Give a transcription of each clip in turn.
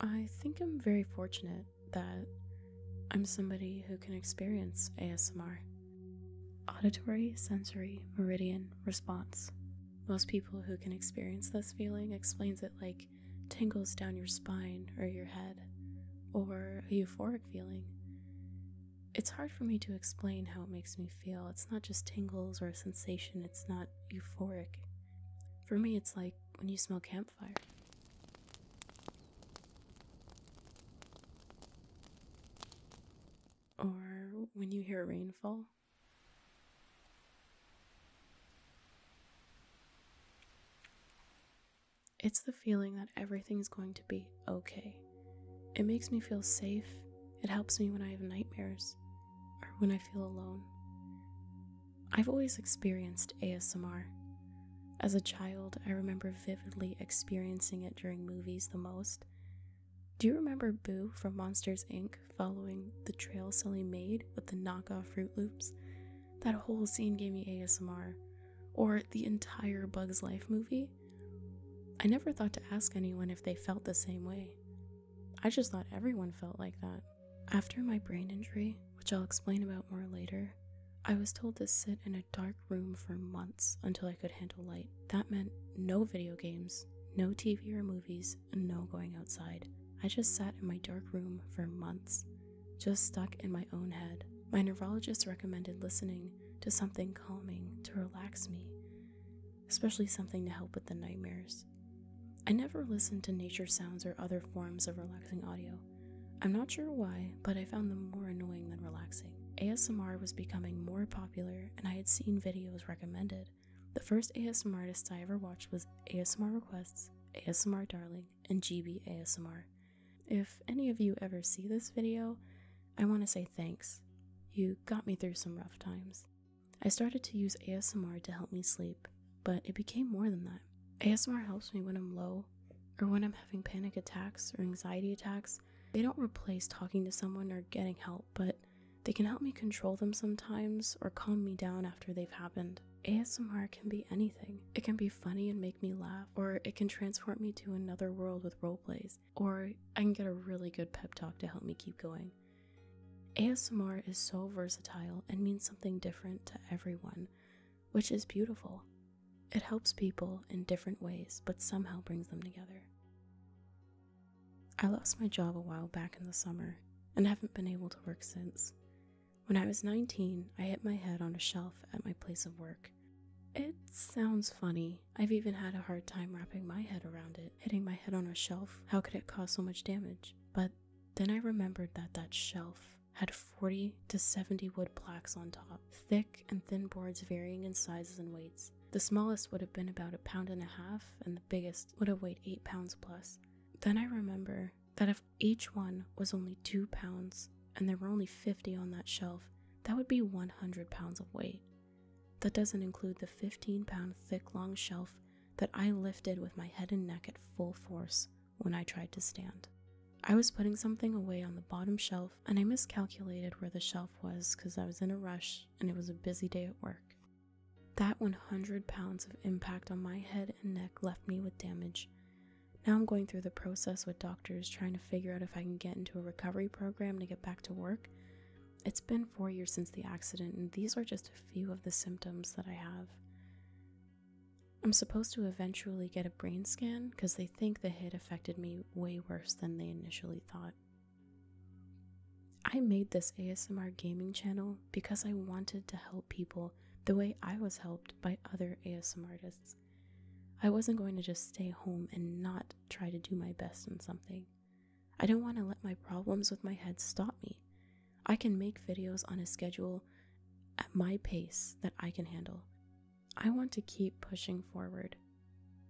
I think I'm very fortunate that I'm somebody who can experience ASMR. Auditory sensory meridian response. Most people who can experience this feeling explains it like tingles down your spine or your head or a euphoric feeling. It's hard for me to explain how it makes me feel. It's not just tingles or a sensation, it's not euphoric. For me, it's like when you smell campfire. Or when you hear rainfall. It's the feeling that everything's going to be okay. It makes me feel safe. It helps me when I have nightmares or when I feel alone. I've always experienced ASMR. As a child, I remember vividly experiencing it during movies the most. Do you remember Boo from Monsters Inc. following the trail Sully made with the knockoff Fruit Loops? That whole scene gave me ASMR or the entire Bugs Life movie, I never thought to ask anyone if they felt the same way. I just thought everyone felt like that. After my brain injury, which I'll explain about more later, I was told to sit in a dark room for months until I could handle light. That meant no video games, no TV or movies, and no going outside. I just sat in my dark room for months just stuck in my own head. My neurologist recommended listening to something calming to relax me, especially something to help with the nightmares. I never listened to nature sounds or other forms of relaxing audio. I'm not sure why, but I found them more annoying than relaxing. ASMR was becoming more popular, and I had seen videos recommended. The first ASMR artist I ever watched was ASMR Requests, ASMR Darling, and GB ASMR. If any of you ever see this video, I want to say thanks. You got me through some rough times. I started to use ASMR to help me sleep, but it became more than that. ASMR helps me when I'm low or when I'm having panic attacks or anxiety attacks. They don't replace talking to someone or getting help, but they can help me control them sometimes or calm me down after they've happened. ASMR can be anything. It can be funny and make me laugh, or it can transport me to another world with roleplays, or I can get a really good pep talk to help me keep going. ASMR is so versatile and means something different to everyone, which is beautiful. It helps people in different ways, but somehow brings them together. I lost my job a while back in the summer and haven't been able to work since. When I was 19, I hit my head on a shelf at my place of work. It sounds funny. I've even had a hard time wrapping my head around it. Hitting my head on a shelf, how could it cause so much damage? But then I remembered that that shelf had 40 to 70 wood plaques on top, thick and thin boards varying in sizes and weights. The smallest would have been about a pound and a half, and the biggest would have weighed 8 pounds plus. Then I remember that if each one was only two pounds, and there were only 50 on that shelf. That would be 100 pounds of weight. That doesn't include the 15 pound thick long shelf that I lifted with my head and neck at full force when I tried to stand. I was putting something away on the bottom shelf and I miscalculated where the shelf was because I was in a rush and it was a busy day at work. That 100 pounds of impact on my head and neck left me with damage. Now I'm going through the process with doctors trying to figure out if I can get into a recovery program to get back to work. It's been four years since the accident, and these are just a few of the symptoms that I have. I'm supposed to eventually get a brain scan because they think the hit affected me way worse than they initially thought. I made this ASMR gaming channel because I wanted to help people the way I was helped by other ASM artists. I wasn't going to just stay home and not try to do my best in something. I don't want to let my problems with my head stop me. I can make videos on a schedule at my pace that I can handle. I want to keep pushing forward.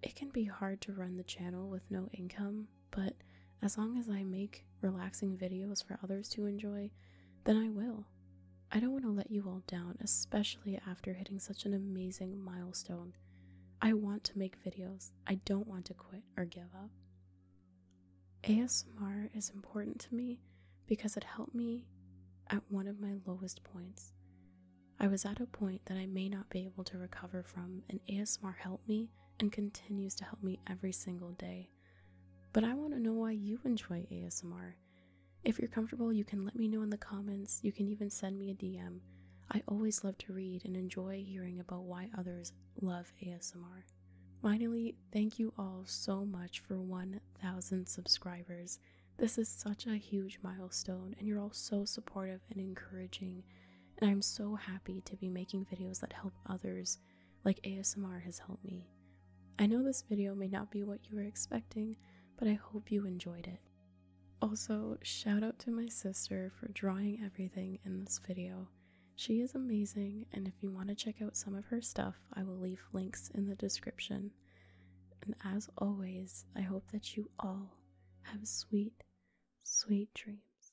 It can be hard to run the channel with no income, but as long as I make relaxing videos for others to enjoy, then I will. I don't want to let you all down, especially after hitting such an amazing milestone. I want to make videos. I don't want to quit or give up. ASMR is important to me because it helped me at one of my lowest points. I was at a point that I may not be able to recover from, and ASMR helped me and continues to help me every single day. But I want to know why you enjoy ASMR. If you're comfortable, you can let me know in the comments. You can even send me a DM. I always love to read and enjoy hearing about why others love ASMR. Finally, thank you all so much for 1,000 subscribers. This is such a huge milestone, and you're all so supportive and encouraging and I'm so happy to be making videos that help others, like ASMR has helped me. I know this video may not be what you were expecting, but I hope you enjoyed it. Also, shout out to my sister for drawing everything in this video. She is amazing, and if you want to check out some of her stuff, I will leave links in the description. And as always, I hope that you all have sweet, sweet dreams.